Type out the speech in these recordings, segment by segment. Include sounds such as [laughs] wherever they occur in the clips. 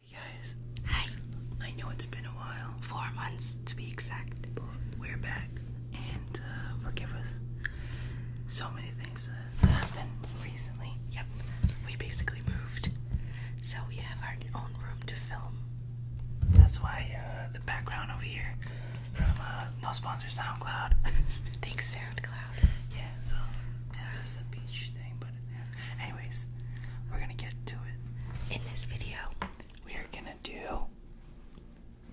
Hey guys. Hi. I know it's been a while. Four months to be exact. We're back. And uh, forgive us. So many things uh, that happened recently. Yep. We basically moved. So we have our own room to film. That's why uh, the background over here from No Sponsor SoundCloud. [laughs] Thanks SoundCloud. Yeah, so yeah, a beach thing, but Anyways, we're gonna get to it. In this video, we are gonna do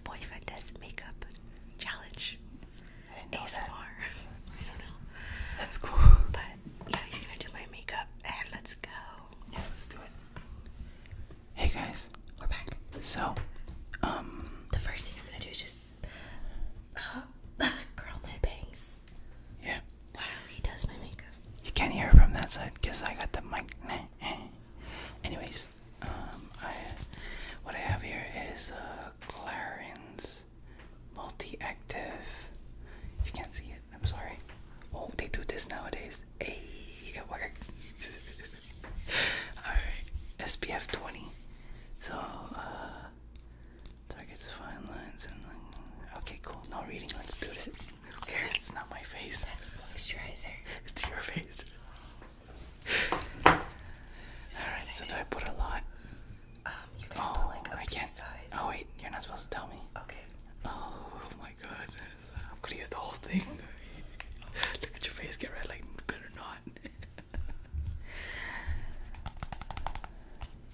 boyfriend does makeup challenge. I ASMR. I don't know. That's cool. But yeah, he's gonna do my makeup and let's go. Yeah, let's do it. Hey guys, we're back. So, um, the first thing I'm gonna do is just uh, [laughs] curl my bangs. Yeah. Wow, he does my makeup. You can't hear from that side because I got the mic. [laughs] Anyways, um, what I have here is a uh, Clarins Multi-Active. You can't see it. I'm sorry. Oh, they do this nowadays. Hey, it works. [laughs] All right, SPF 20. So. Uh, Targets fine lines and okay, cool. No reading. Let's do it. It's not my face. That's moisturizer. [laughs] It's your face. Alright, so I put a lot? Um, oh, put I can't. Oh wait, you're not supposed to tell me. Okay. Oh my god, I'm gonna use the whole thing. [laughs] Look at your face get red, like better not. [laughs]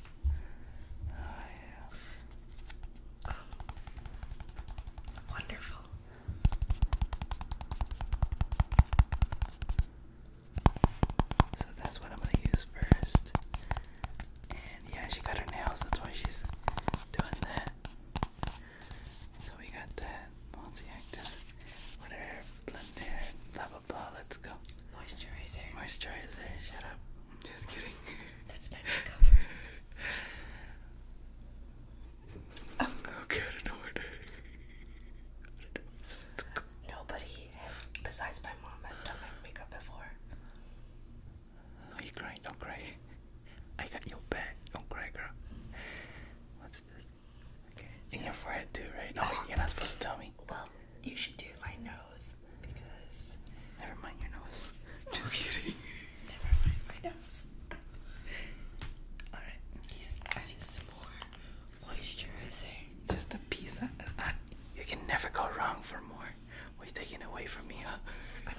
So that's what I'm gonna use first. And yeah, she got her nails, that's why she's doing that. So we got that multi-active, whatever, blender, blah Let's go. Moisturizer. Moisturizer. Shut up. Just kidding. [laughs] That's makeup. I am not know what. I don't know. [laughs] Nobody has, besides my mom, has done my makeup before. Are you crying? Don't cry. [laughs] I got your back. Don't cry, girl. What's this? In your forehead too, right? No, you're not supposed to tell me. Well, you should do my nose because. Never mind your nose. [laughs] Just kidding. Never mind my nose. Alright. He's adding some more moisturizer. Just a piece of that. Uh, you can never go wrong for more. What are you taking away from me, huh?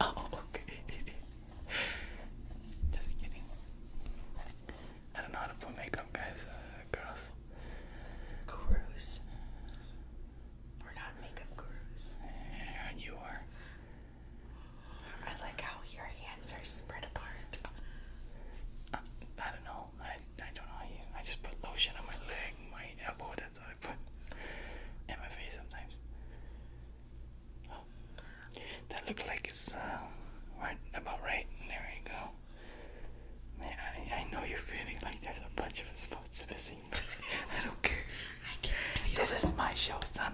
[laughs] oh, okay. [laughs] Just kidding. I don't know how to put makeup, guys. Uh, girls makeup We're not makeup gurus. And you are. I like how your hands are spread apart. Uh, I, don't know. I, I don't know you. I just put lotion on my leg, my elbow. That's what I put. in my face sometimes. Oh, that looked like it's uh, about right. There you go. Man, I, know you're feeling like there's a bunch of spots missing, but I don't care. I can this is my show, son.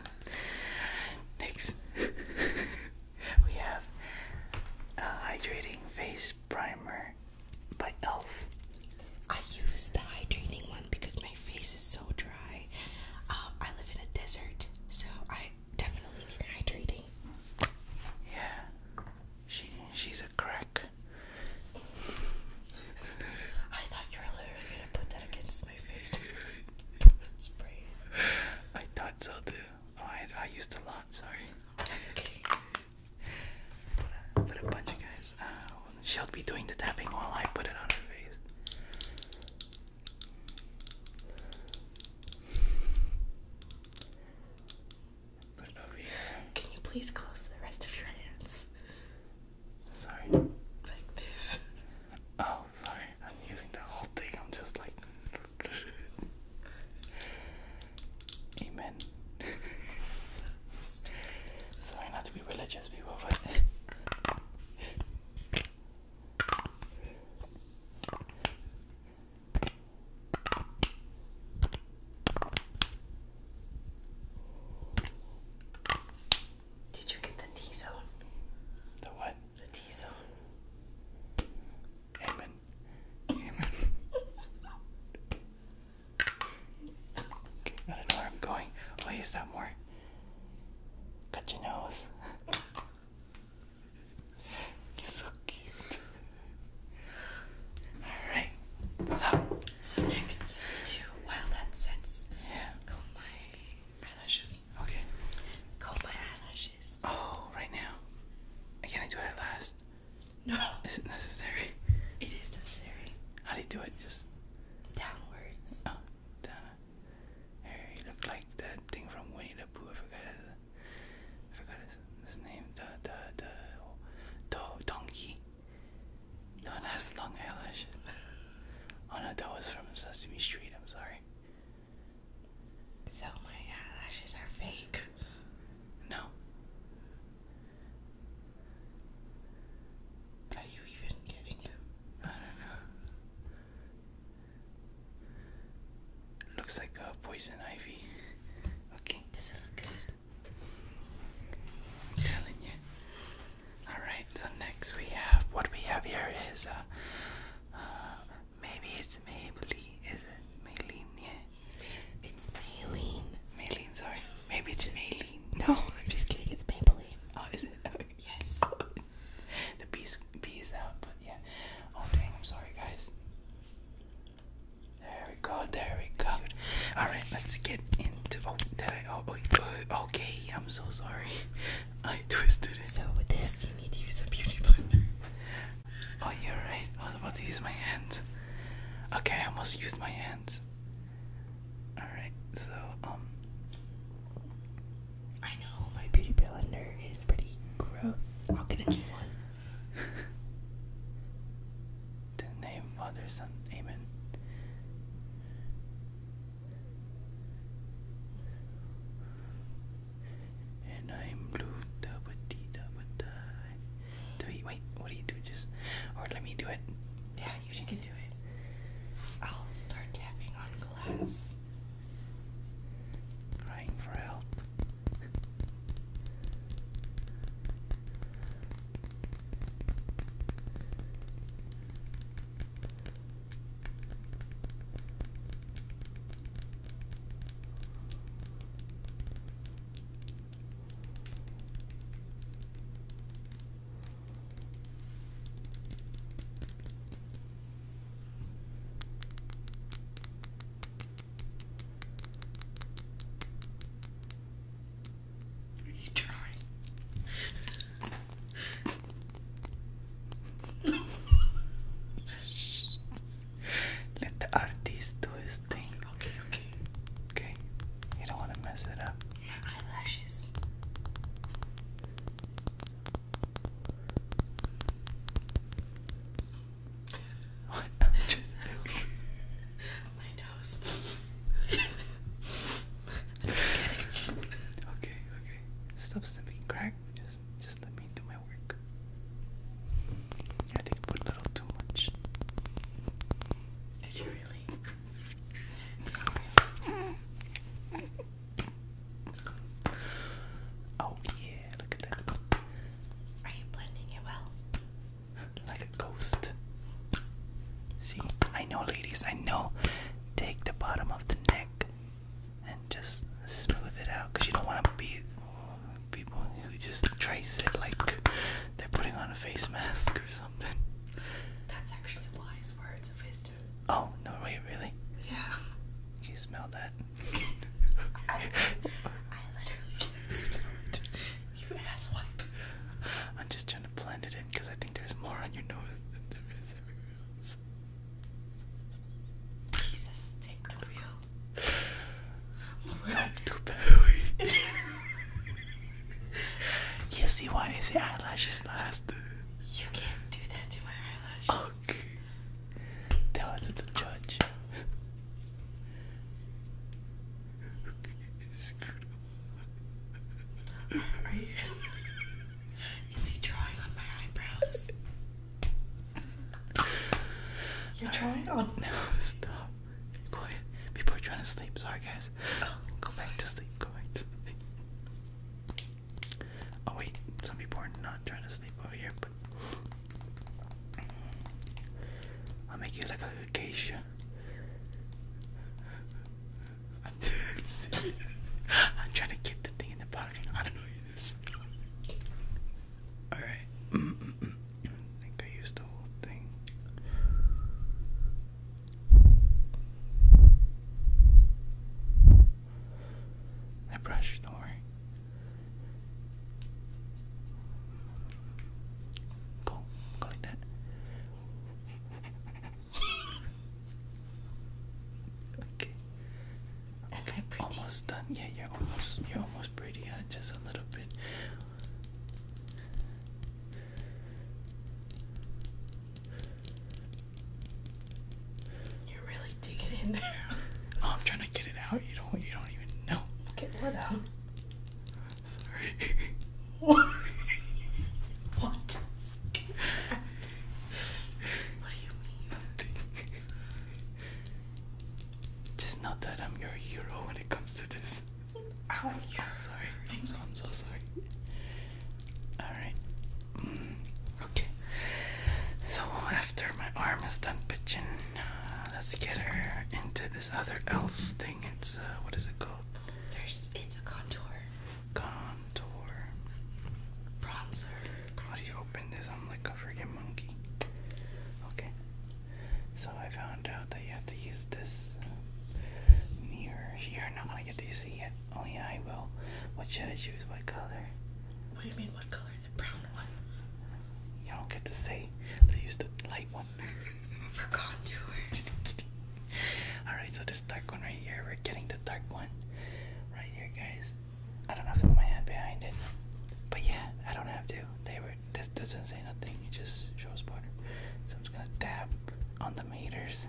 Next, we have a hydrating face primer by Elf. I use the hydrating one because my face is so dry. Um, I live in a desert, so I definitely need hydrating. Yeah, she she's a crack. I thought you were literally gonna put that against my face. [laughs] I thought so too. Oh, I I used a lot. Sorry. okay. But, a bunch of guys. Uh, she'll be doing the tapping while I put it on her face. Can you please close the rest of your hands? Sorry. Like this. Oh, sorry. I'm using the whole thing. I'm just like. Amen. [laughs] sorry not to be religious, people, but. Did you get the T zone? The what? The T zone. Amen. Amen. I don't know where I'm going. Wait, is that more? Cut your nose so cute. Alright, so. So next to, while sets, yeah. comb my eyelashes. Okay. Comb my eyelashes. Oh, right now. Can I do it last? No. Is it necessary? It is necessary. How do you do it? Just downwards. Oh, down. you look like that thing from Winnie the Pooh. I forgot. I forgot his, his name. The the the do, donkey. The one has long eyelashes. [laughs] oh no, that was from Sesame Street. I'm sorry. So my eyelashes are fake. No. How are you even getting them? I don't know. Looks like a uh, poison ivy. Okay. This is good. Telling you. Alright, so next we have what we have here is uh, uh maybe it's Maybelline. Is it Maylene? It's Maylene. Maylene, sorry. Maybe it's Maylene. No, I'm just kidding. It's Maybelline. Oh, is it? [laughs] Oh, yes. Oh, the bees bees out, but yeah. Oh dang, I'm sorry guys. There we go, there we go. Alright, let's get into. Oh, did I? Oh, okay, I'm so sorry. [laughs] I twisted it. So, with this, you need to use a beauty blender. Oh, you're right. I was about to use my hands. Okay, I almost used my hands. Alright, so, um. I know my beauty blender is pretty gross. I'll get into one. [laughs] the name Father Son, Amen. And I'm blue, da ba dee da wait, what do you do? Just, or let me do it. Yeah, you can do it. I'll start tapping on glass. Crying for help. You try. Let the artist do his thing. Okay, okay. Okay. You don't want to mess it up. My eyelashes. What? [laughs] My nose. [laughs] Okay, okay. Stop sniffing, crack. Just just let me do my work. I think I put a little too much. Did you really? [laughs] Oh yeah, look at that. Are you blending it well? Like a ghost. See, I know, ladies, I know. Take the bottom of the neck and just smooth it out because you don't want to be people who just trace it like they're putting on a face mask or something. That's actually wise words of wisdom. Oh no! Wait, really? Yeah. you smell that? [laughs] I, literally can't smell it. You asswipe. I'm just trying to blend it in because I think there's more on your nose than there is everywhere else. Jesus, take the wheel. [sighs] Don't do belly. [laughs] you see why I eyelashes last? You can't do that to my eyelashes. Okay. Tell us it's a judge. Are you, is he drawing on my eyebrows? You're trying on. No, stop. Quiet. People are trying to sleep. Sorry, guys. Oh, go back to sleep. Go Oh wait, some people are not trying to sleep over here, but I'll make you like a geisha. I'm serious. I'm trying to get the thing in the bottom. I don't know either. Alright. I think I used the whole thing. That brush, don't worry. Go, go like that. okay. Okay, almost done. Yeah, you're almost you're almost pretty. Uh, just a little bit. You're really digging in there. [laughs] I'm trying to get it out. You don't. You don't even know. Get what out? Sorry. [laughs] What? what? [laughs] What do you mean? Nothing. Just not that I'm your hero when it comes to this. Ow! Oh, i sorry. I'm so sorry. Alright. Mm, okay. So after my arm is done pitching, uh, let's get her into this other elf thing. It's, uh, what is it called? it's a contour. Contour. Bronzer. How do you open this? I'm like a freaking monkey. Okay. So I found out that you have to use this mirror here. Not going get to see it, only oh, I will. What should I choose? What color? What do you mean, what color? The brown one. You don't get to say. Let's use the light one. [laughs] For contour. [laughs] Just kidding. Alright, so this dark one right here, we're getting the dark one right here, guys. I don't have to put my hand behind it. But yeah, I don't have to. They were. This doesn't say nothing. It just shows water. So I'm just gonna dab on meters.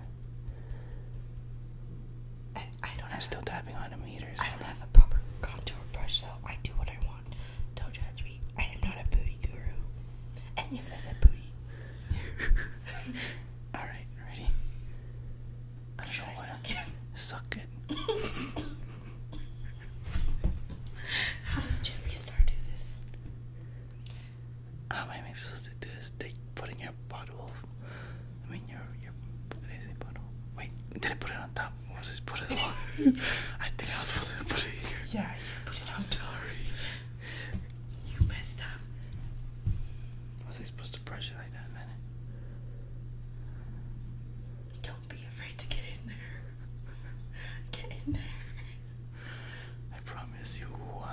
I, don't I'm still tapping on the meters. I don't have a proper contour brush, though. I do what I want. Don't judge me. I am not a booty guru. And yes, I said booty. [laughs] Alright, ready? Should I Suck it? Suck it. [laughs] [laughs] How does Jeffree Star do this? Um, i supposed to do this. They putting your bottle. I mean, your your did I say bottle? Wait, did I put it on top? Or was I put it on? [laughs] I think I was supposed to put it here. Yeah, you put it on. I'm sorry. You messed up. Was I supposed to brush it like that? Then? Don't be afraid to get in there. [laughs] Get in there. I promise you,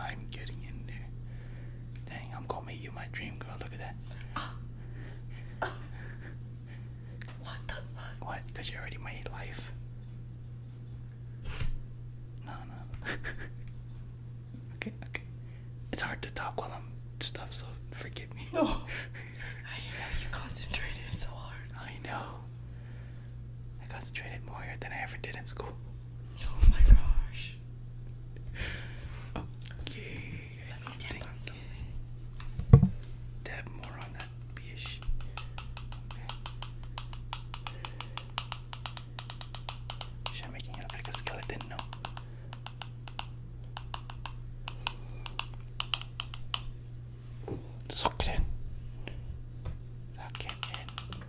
I'm getting in there. Dang, I'm gonna make you my dream girl. Look at that. What the fuck? What? Because you already made life. No, no. [laughs] okay, okay. It's hard to talk while I'm stuff. so forgive me. No. [laughs] I know you concentrated so hard. I know. I concentrated more here than I ever did in school. Oh my gosh. Okay. tap more on that Okay. make it look like skeleton? No. Suck it in. Suck it in.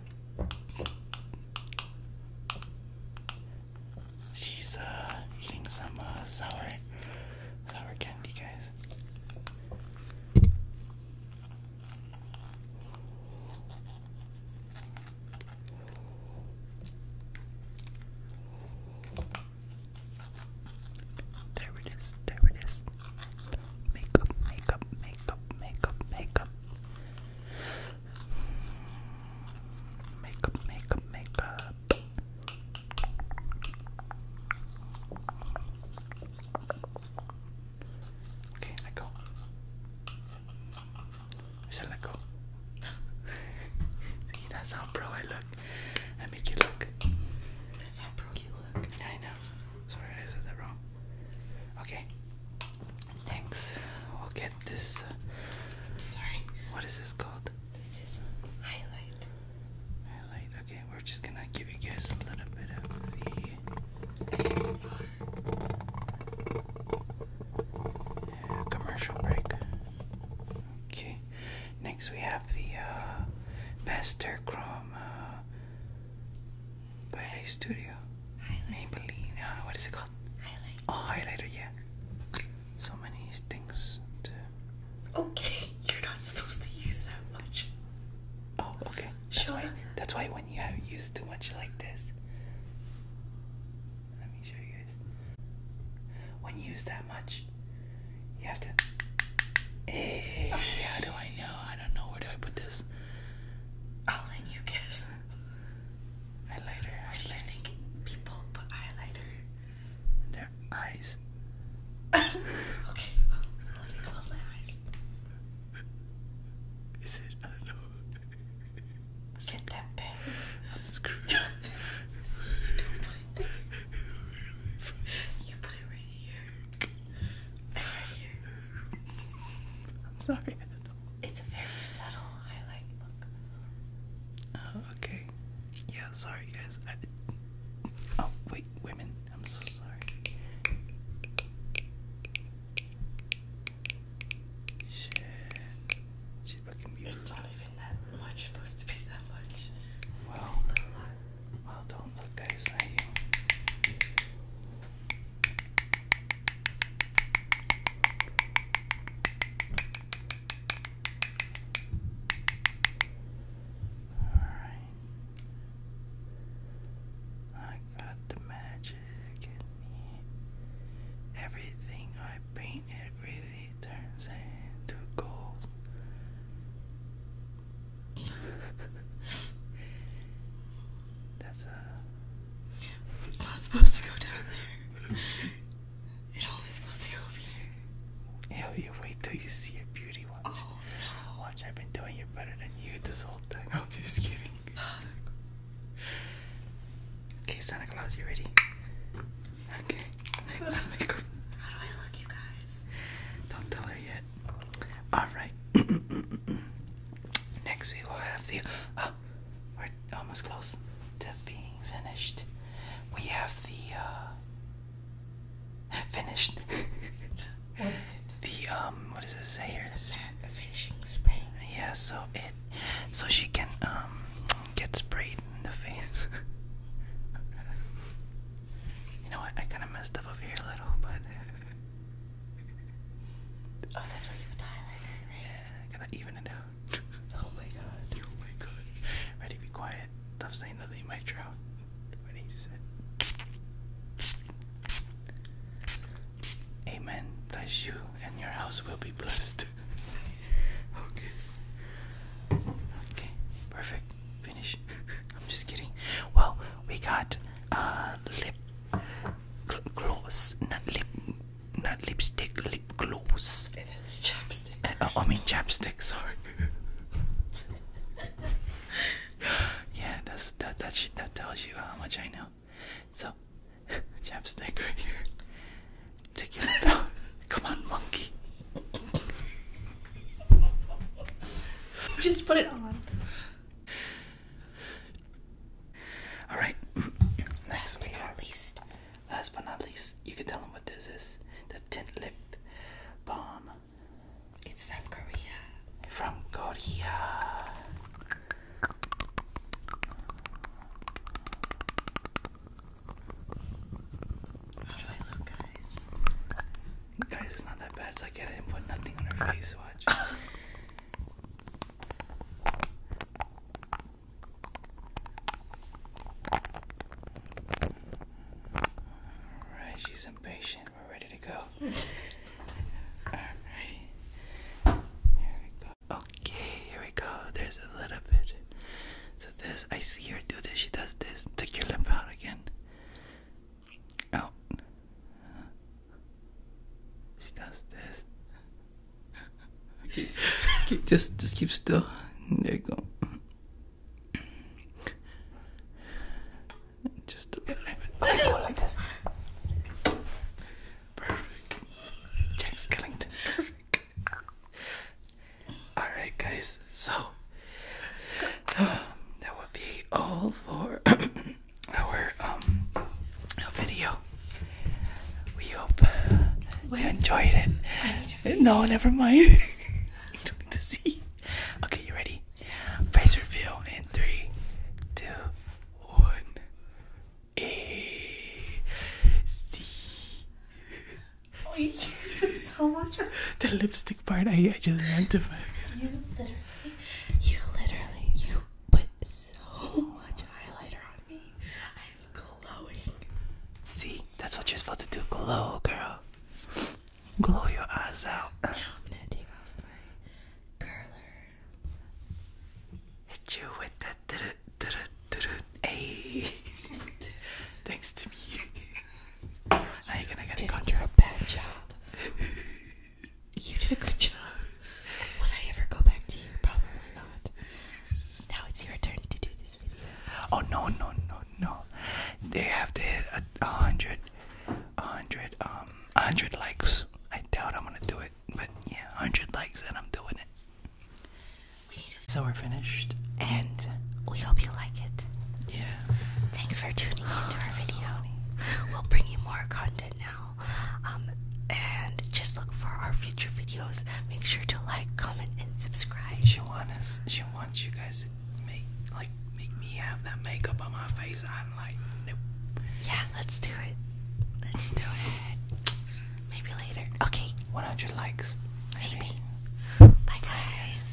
She's uh, eating some uh, sour, sour candy, guys. There it is, there it is. Makeup, makeup, makeup, makeup, makeup. Makeup, makeup, makeup. Okay, let go. I said let go. [laughs] See, that's how pro I look. I make you look. That's how pro you look. I know. Sorry, I said that wrong. Okay. Next, we'll get this. Uh, Sorry. What is this called? This is highlight. Highlight. Okay, we're just gonna give you guys a little bit of the. commercial break. Okay. Next we have the Master uh, Chrome uh, by Ray Studio. Maybelline. what is it called? Highlight. Oh, highlighter. Yeah. So many things to. Okay, [laughs] you're not supposed to use that much. Oh, okay. sure. That's why when you have used too much like this. Let me show you guys. When you use that much, you have to. Hey, eh, how do I know? I don't know. Where do I put this? I'll let you guess. Highlighter, I think people put highlighter in their eyes. [laughs] okay, let me close my eyes. Is it? I don't know. Get that pen. I'm screwed. [laughs] You put it Right here. I'm sorry. It's a very subtle highlight look. Oh, okay. Yeah, sorry guys. Oh, wait, women. I'm so sorry. Shit. It's not even that much, supposed to be that much. Well, well, don't look guys all right. I got the magic in me. Everything I paint, it really turns into gold. [laughs] That's uh It's not supposed to go down there. It only supposed to go up here. Hell you wait till you see your beauty oh, watch. I've been doing it better than you this whole time. I'm just kidding. okay, Santa Claus, you ready? Okay. [laughs] How do I look you guys? Don't tell her yet. All right. [coughs] Next, we will have the. Oh, we're almost close to being finished. We have the. Uh, finished. [laughs] what is it? The um. What does it say here? It's spray. Yeah. So it. So she can um get sprayed in the face. [laughs] you know what? I kind of messed up over here a little, but [laughs] Oh, that's where you put right? gotta even it out. [laughs] oh my god. [laughs] Oh my god. Ready, be quiet. Stop saying nothing, you might drown. Ready, set. Amen. Bless you, and your house will be blessed. [laughs] okay. Okay, perfect. Finish. I'm just kidding. Well, we got uh, lip gloss, not lip, not lipstick, lip gloss. That's chapstick. Uh, oh, I mean chapstick. Sorry. [laughs] yeah, that's that that that tells you how much I know. So, [laughs] chapstick right here. Take it out. Come on, monkey. Just put it on. All right. [clears throat] last Last but not least, you can tell them what this is. The tint lip balm. It's from Korea. From Korea. How do I look, guys? Guys, it's not that bad. So I didn't put nothing on her face. Watch. [laughs] Alright, she's impatient. We're ready to go. Alrighty. Here we go. Okay, here we go. There's a little bit. So this, I see her do this. She does this. Take your lip out again out. She does this. keep, [laughs] just, just keep still. There you go. Just a little bit. Go like this. Perfect. Jack Skellington. Perfect. Alright, guys. So, [sighs] that would be all for [clears throat] our um video. We hope Wait. you enjoyed it. No, never mind. [laughs] Okay, you ready? Face reveal in three, two, one. A C. Oh, you so much. The lips. I, just meant to. you literally, you literally, you put so much highlighter on me. I'm glowing. See, that's what you're supposed to do. Glow, girl. Glow your eyes out. Hit you with that. [laughs] thanks to me. Now you're gonna get a contract. bad job. you did a good job. Would I ever go back to you? Probably not. Now it's your turn to do this video. Oh no no no no! They have to hit a, hundred, a hundred, um, a hundred likes. I doubt I'm gonna do it, but yeah, hundred likes and I'm doing it. so we're finished, and we hope you like it. Yeah, Thanks for tuning into our video. we'll bring you more content now. Um, and just look for our future videos. Make sure to like, comment, and subscribe. She wants She wants you guys make like make me have that makeup on my face. I'm like, nope. Yeah, let's do it. Let's do it. Maybe later. Okay. 100 likes. maybe. Bye guys.